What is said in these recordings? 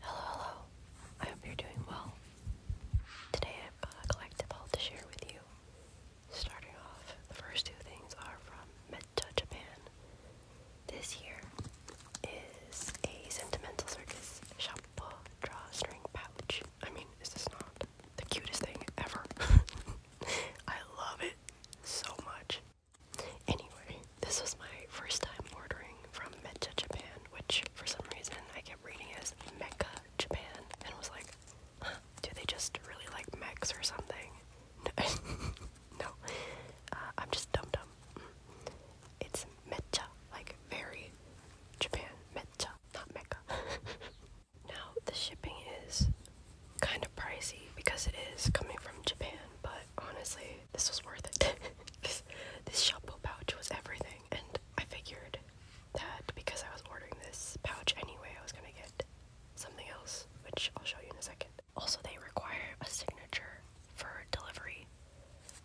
Hello, hello. I hope you're doing well. Today I've got a collective haul to share with you. Starting off, the first two things are from Mecha Japan. This here is a Sentimental Circus Shoppa drawstring pouch. I mean, is this not the cutest thing ever? I love it so much. Anyway, this was my first time ordering from Mecha Japan, which for some reason I kept reading as Mecca Japan and was like, do they just really like mechs or something? No, uh, I'm just dumb dumb. Mm. It's Mecha, like very Japan, Mecha, not Mecca. now, the shipping is kind of pricey because it is coming from Japan, but honestly, this was worth it. this this shampoo pouch was everything, and I figured that because I was ordering this pouch anyway, I was gonna get something else, which I'll show you in a second. Also, they require a signature for delivery,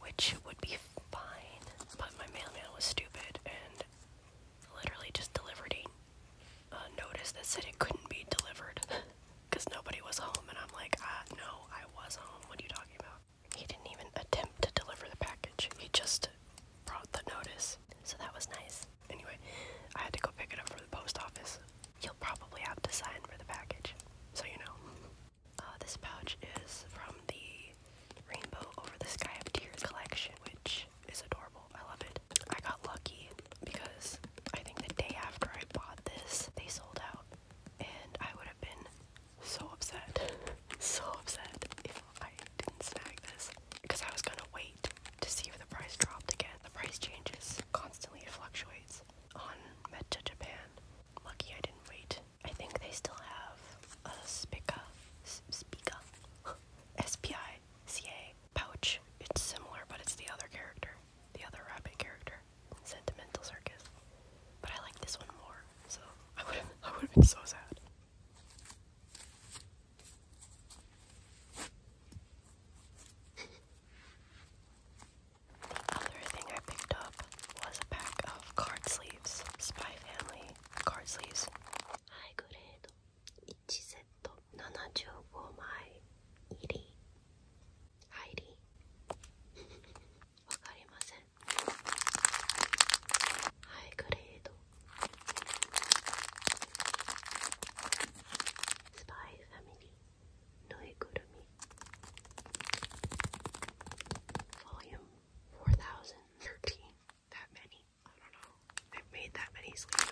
which would be fine, but my mailman was stupid and literally just delivered a notice that said it couldn't be delivered. because nobody was home, and I'm like, ah, no, I was home. What are you talking about? He didn't even attempt to deliver the package. He just brought the notice, so that was nice. Anyway, I had to go pick it up from the post office. You'll probably have to sign for the package, so you know. Uh, this pouch is from the Rainbow Over the Sky of Tears collection, which is adorable. I love it. I got lucky because I think the day after I bought this, they sold out and I would have been so upset, so upset if I didn't snag this because I was gonna wait to see if the price dropped again. The price changes constantly; it fluctuates on Meta Japan. Lucky I didn't wait. I think they still have a Spica, Spica, S P I C A pouch. It's similar, but it's the other character, the other rabbit character. Sentimental Circus. But I like this one more, so I would have I would have been so sad. The other thing I picked up was a pack of card sleeves, Spy Family card sleeves. High grade, 1セット75枚入り Heidi わかりませんハイグレードスパイファミリーぬいぐるみ Volume 4013 That many? I don't know I've made that many sleeves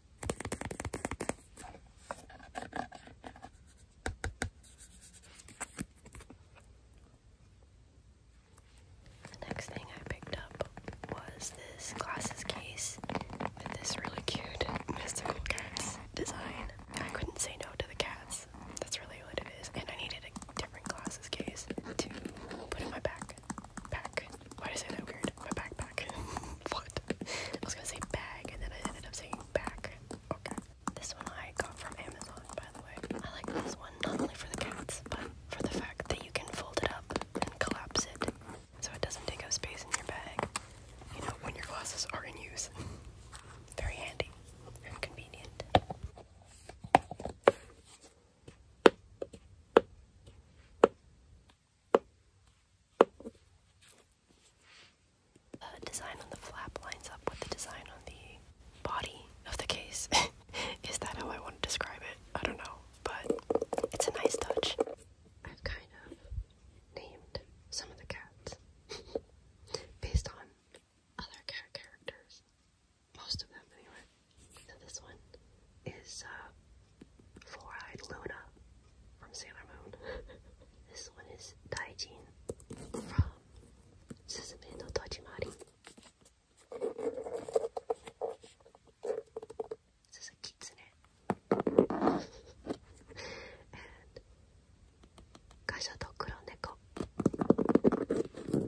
The next thing I picked up was this glasses case with this really cute mystical cats design. I couldn't say no to the cats. That's really what it is. And I needed a different glasses case to put in my back. Back. Why did I say that weird? My backpack. what? I was gonna say bag and then I ended up saying back. Okay. This one I got from Amazon, by the way. I like this one not only for the cats, but for the fact that you can fold it up and collapse it so it doesn't take up space in your bag, you know, when your glasses are in use. Very handy and convenient. The design on the flap lines up with the design on the body of the case. Is that how I want to describe it? I don't know, but it's a nice touch. I've kind of named some of the cats based on other cat characters. Most of them, anyway. So this one is uh, Fluoride Luna from Sailor Moon. this one is Taijin from Suzume no Tajimari. This is a kitsune. and Gacha to Kuro Neko.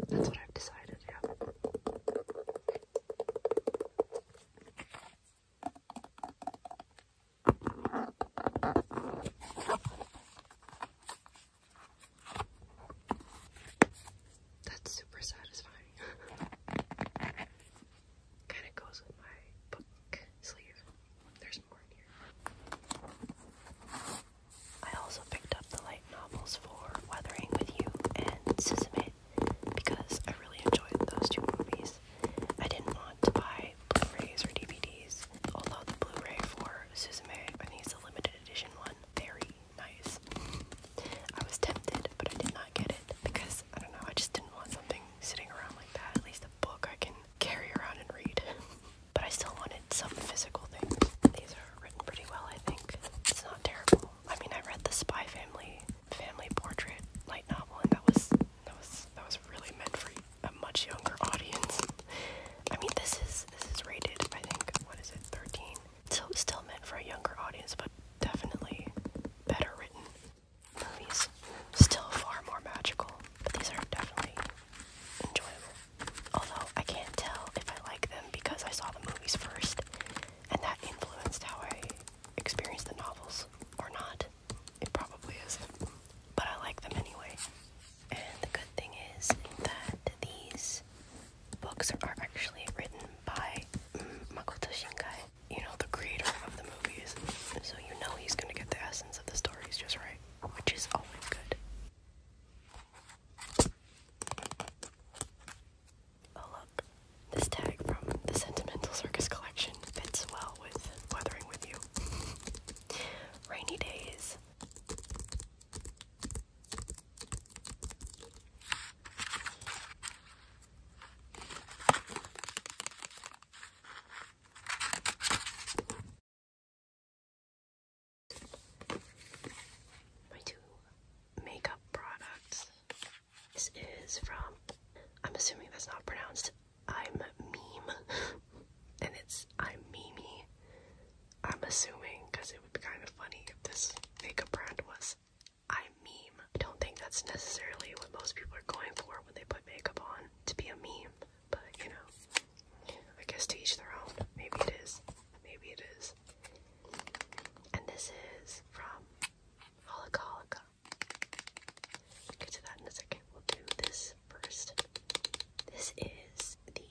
That's what I've decided, yeah. That's super satisfying. kind of goes with my book sleeve. There's more here. I also picked up the light novels for Weathering with You and Sismet because I really enjoyed those two movies. I didn't want to buy Blu-rays or DVDs. Although the Blu-ray for Suzume, I think it's a limited edition one, very nice. I was tempted, but I did not get it because I don't know. I just didn't want something sitting around like that. At least a book I can carry around and read. but I still wanted some physical things. These are written pretty well, I think. It's not terrible. I mean, I read the Spy Family family portrait light novel, and that was that was that was really meant for a much younger audience. I mean, this is this is rated. I think what is it, thirteen? So still meant for a younger audience, but definitely better written movies. Still far more magical, but these are definitely enjoyable. Although I can't tell if I like them because I saw the movies first, and that influenced how I experienced the novels or not. It probably is. But I like them anyway. And the good thing is that these books are actually written by mm, Makoto Shinkai, you know, the creator of the movies. So you know he's gonna get the essence of the stories just right, which is always good. Oh, look, this tag from the Sentimental Circus collection fits well with weathering with you. Rainy days. My two makeup products. This is from, I'm assuming that's not pronounced, I'm Meme. and it's I'm Mimi. I'm assuming, because it would be kind of funny if this makeup brand was I'm Meme. I don't think that's necessarily what most people are going for when they put makeup on, to be a meme. But, you know, I guess to each their own. Maybe it is. Maybe it is. And this is from Holocolica get to that in a second. We'll do this first. This is the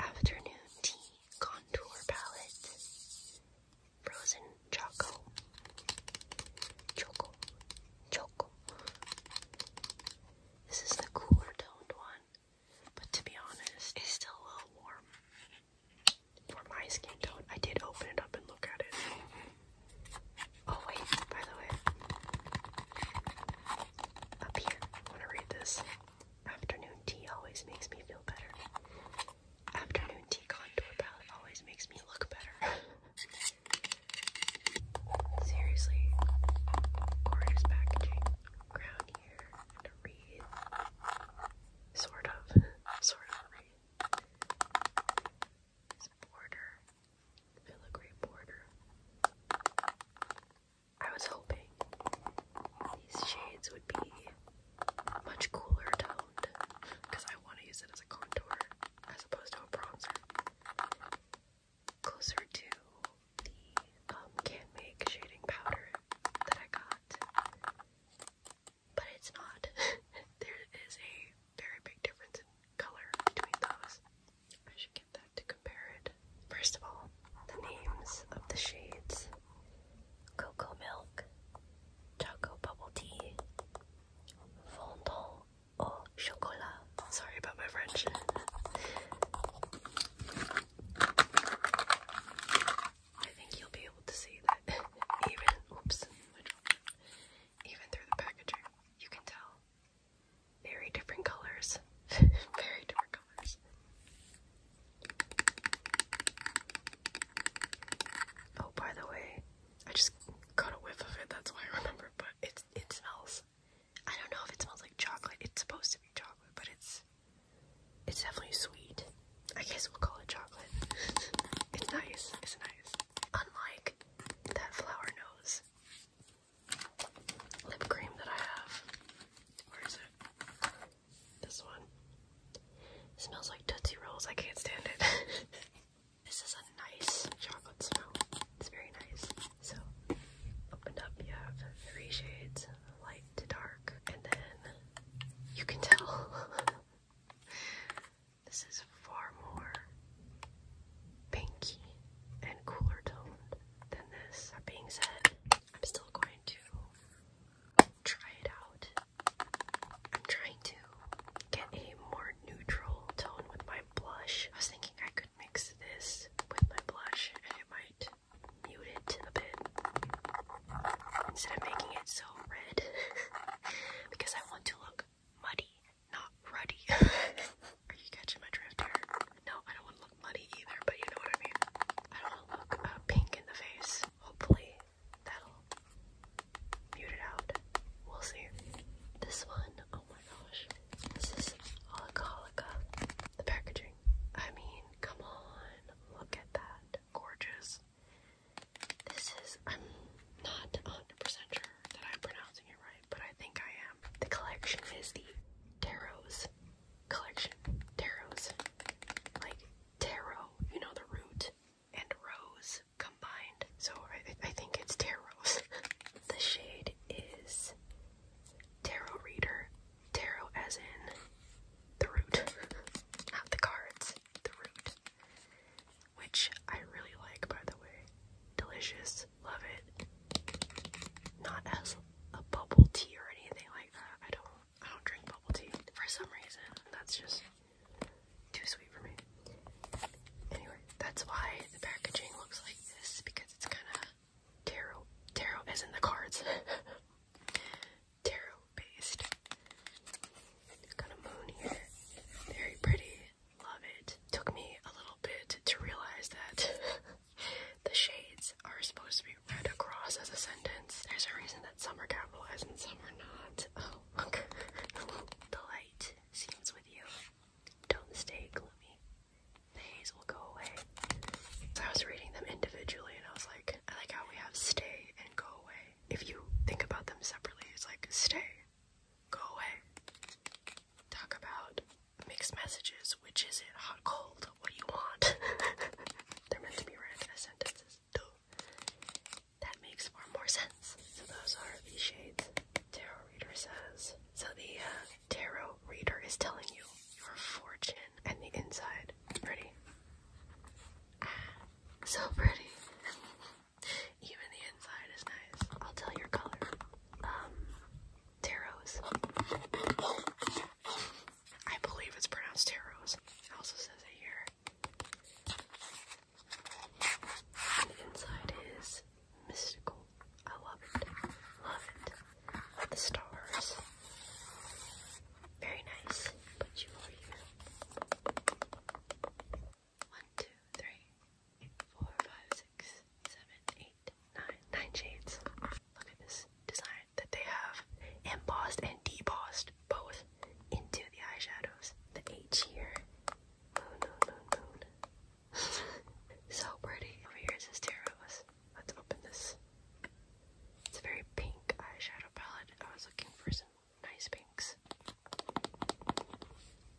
Afternoon Tea Contour Palette. Frozen Choco. Choco. Choco. This is the cooler toned one, but to be honest, it's still a little warm for my skin tone. I did open it up and look at it. Oh wait, by the way, up here, want to read this. Afternoon tea always makes me feel better. Afternoon tea contour palette always makes me look better. Seriously, gorgeous packaging. Ground here and a Sort of. sort of a border, filigree border. I was hoping these shades would be much cooler toned because I want to use it as a contour as opposed to a bronzer. Closer to the um, Can Make shading powder that I got but it's not. there is a very big difference in color between those. I should get that to compare it. First of all, the names of the shades Cocoa Milk, Choco Bubble Tea, Fondant au Chocolat. Sorry about my French. I think you'll be able to see that even, oops, even through the packaging, you can tell. Very different colors. Very different colors. Oh, by the way, I just got a whiff of it, that's why I remember, but it, it smells. I don't know if it smells like chocolate. It's supposed to be chocolate, but it's it's definitely sweet. I guess we'll call it chocolate. it's nice, it's nice. Unlike that flower nose lip cream that I have. Where is it? This one. smells like Tootsie Rolls, I can't stand it. this is a nice chocolate smell. It's very nice. So, opened up, you have three shades, light to dark, and then you can tell This is far more pinky and cooler toned than this. That being said, I'm still going to try it out. I'm trying to get a more neutral tone with my blush. I was thinking I could mix this with my blush and it might mute it a bit instead of making it so red because I want to look muddy, not ruddy. Are you catching my drift here? No, I don't want to look muddy either, but you know what I mean. I don't want to look uh, pink in the face. Hopefully, that'll mute it out. We'll see. This one, oh my gosh, this is Holocolica. The packaging. I mean, come on, look at that. Gorgeous. This is, I'm not 100 sure that I'm pronouncing it right, but I think I am. The collection is the Tarot's collection. Tarot's. Like tarot, you know, the root and rose combined. So I, think it's Tarot's. the shade is Tarot Reader. Tarot as in the root, not the cards, the root which I really like, by the way. Delicious, love it. Not as a bubble tea or anything like that. I don't, I don't drink bubble tea for some reason. That's just too sweet for me. Anyway, that's why the packaging looks like this because it's kind of tarot. Tarot is in the cards. tarot based. It's moon here. Very pretty. Love it. Took me a little bit to realize that the shades are supposed to be read across as a sentence. There's a reason that some are capitalized and some are not. Oh, okay. the light seems with you. Don't stay gloomy. The haze will go away. So I was reading them individually and I was like, I like how we have stay and go away if you think about them separately, it's like stay, go away. Talk about mixed messages, which is it, hot, cold, what do you want? They're meant to be read as sentences. That makes far more sense. So those are the shades. Tarot reader says. So the uh, tarot reader is telling you your fortune and the inside. Ready? Ah. So pretty. Even the inside is nice. I'll tell your color. Um, Taros. I believe it's pronounced Taros. It also says it here. And the inside is mystical. I love it. Love it. The stars. Very nice. Put you over here six, seven, eight, nine. Nine shades. Look at this design that they have embossed and debossed both into the eyeshadows. The H here. Moon, moon, moon, moon. so pretty. Over here is Terrose. Let's open this. It's a very pink eyeshadow palette. I was looking for some nice pinks.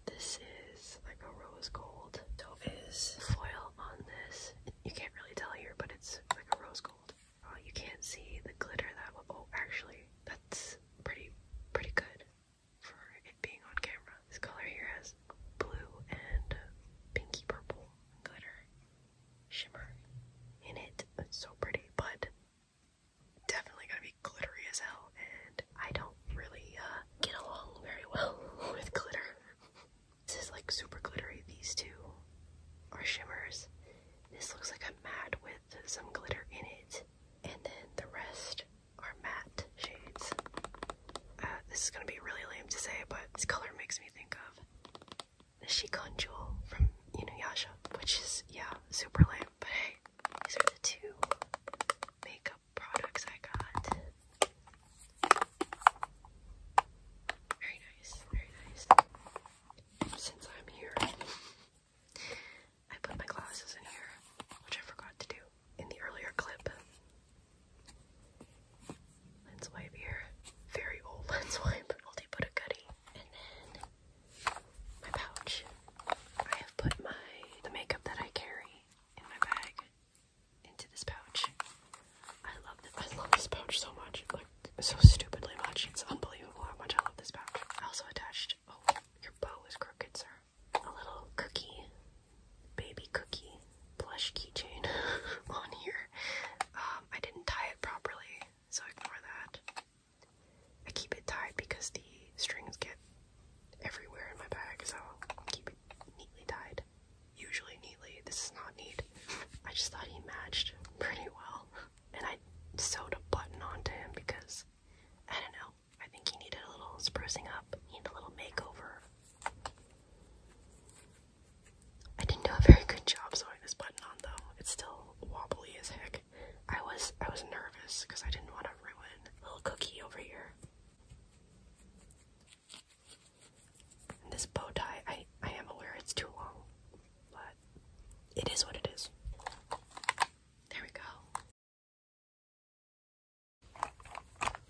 This is like a rose gold. So is foil on this. You can't really tell here, but it's like a rose gold. Oh, you can't see the glitter that well. Oh, actually, that's pretty, pretty good for it being on camera. This color here has blue and pinky purple glitter shimmer in it. That's so pretty, but definitely gonna be glittery as hell, and I don't really uh, get along very well with glitter. this is like super glittery. These two are shimmers. This looks like a matte with some glitter in it, and then the rest are matte shades. Uh, this is gonna be really lame to say, but this color makes me think of the Shikon Jewel from Inuyasha, which is, yeah, super lame. But hey, these are the two makeup products I got. Very nice, very nice. Since I'm here, I put my glasses in here, which I forgot to do in the earlier clip. Lens wipe here. Very old lens wipe. I'll put a goodie. And then my pouch. I have put my the makeup that I carry in my bag into this pouch. I love this. I love this pouch so much. Like so stupidly much. It's unbelievable how much I love this pouch. also attached. Oh, your bow is crooked, sir. A little cookie, baby cookie, plush keychain on here. Um, I didn't tie it properly, so ignore that. I keep it tied because the strings get everywhere in my bag, so I'll keep it neatly tied. Usually neatly. This is not neat. I just thought he matched pretty well. And I sewed a button onto him because I don't know. I think he needed a little sprucing up. He needed a little makeover. I didn't do a very good job sewing this button on though. It's still wobbly as heck. I was I was nervous because I didn't want to ruin little cookie over here. this bow tie, I I am aware it's too long, but it is what it is. There we go.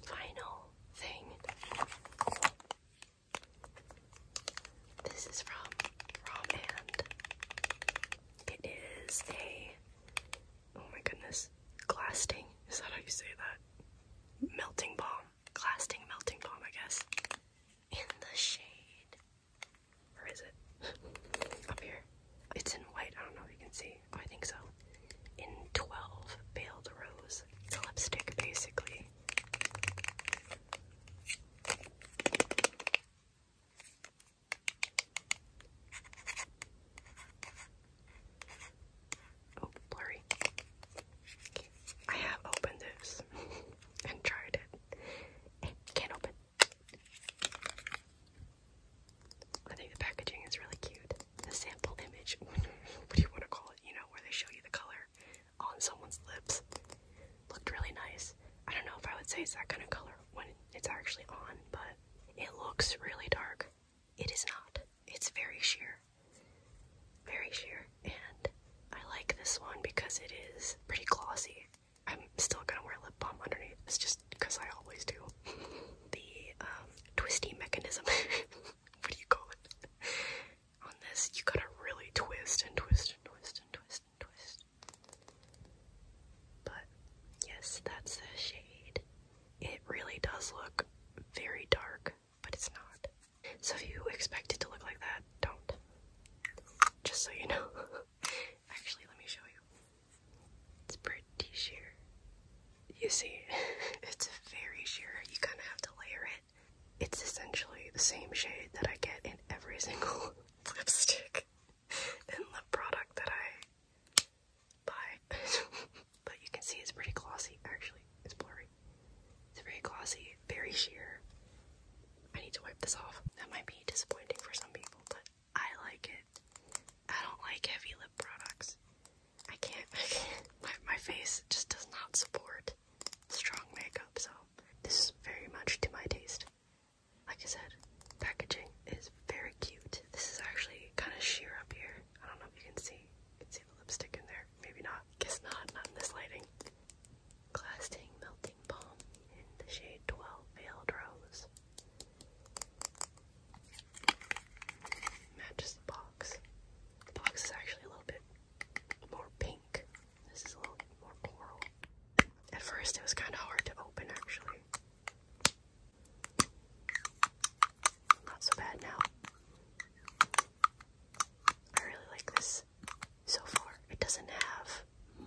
Final thing. This is from Romand. It is a oh my goodness, glasting. Is that how you say that? Melting balm, glasting melting balm, I guess. In the shade, or is it up here? It's in white. I don't know if you can see. Oh, I think so. In twelve, veiled rose. It's a lipstick, basically. Oh, blurry. I have opened this and tried it. can't open. I think the packaging is really cute. The sample image, what do you want to call it? You know, where they show you the color on someone's lips. Looked really nice. I don't know if I would say it's that kind of color when it's actually on, but it looks really dark. It is not. It's very sheer. Very sheer. And I like this one because it is pretty glossy. I'm still gonna wear lip balm underneath. It's just because I always do. the um, twisty mechanism. what do you call it? on this, you gotta really twist and twist and twist and twist twist, But yes, that's the shade. It really does look very dark, but it's not. So if you expect it to look like that, don't. Just so you know. Actually, let me show you. It's pretty sheer. You see, it's very sheer. You kind of have to layer it it's essentially the same shade that I get in every single lipstick and lip product that I buy. but you can see it's pretty glossy, actually. It's blurry. It's very glossy, very sheer. I need to wipe this off. That might be disappointing for some people, but I like it. I don't like heavy lip products. I can't, I can't. My, my face just does not support strong makeup, so this is very much to my taste. Like I said, packaging is very cute. This is actually kind of sheer up here. I don't know if you can see. can see the lipstick in there. Maybe not. Guess not. Not in this lighting. Glass Melting Balm in the shade 12 Veiled Rose. Matches the box. box is actually a little bit more pink this is a little more coral. At first, it was kind of hard to open, actually. Not so bad now. I really like this so far. It doesn't have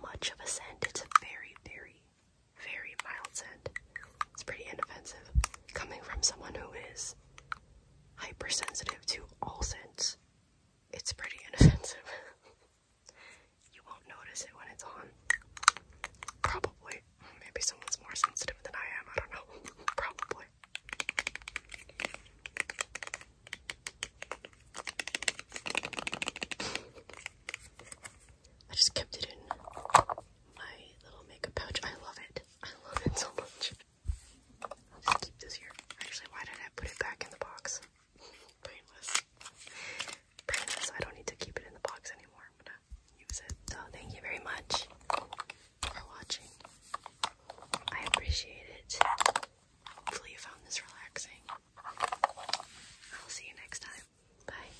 much of a scent. It's a very, very, very mild scent. It's pretty inoffensive. Coming from someone who is hypersensitive to all scents, it's pretty inoffensive. you won't notice it when it's on. Probably. Maybe someone's more sensitive than I am. I don't know. Probably. I just kept it in my little makeup pouch. I love it. I love it so much. I'll just keep this here. Actually, why did I put it back in the box? Brainless. Brainless. I don't need to keep it in the box anymore. I'm gonna use it. So thank you very much for watching. I appreciate it. Hopefully you found this relaxing. I'll see you next time. Bye.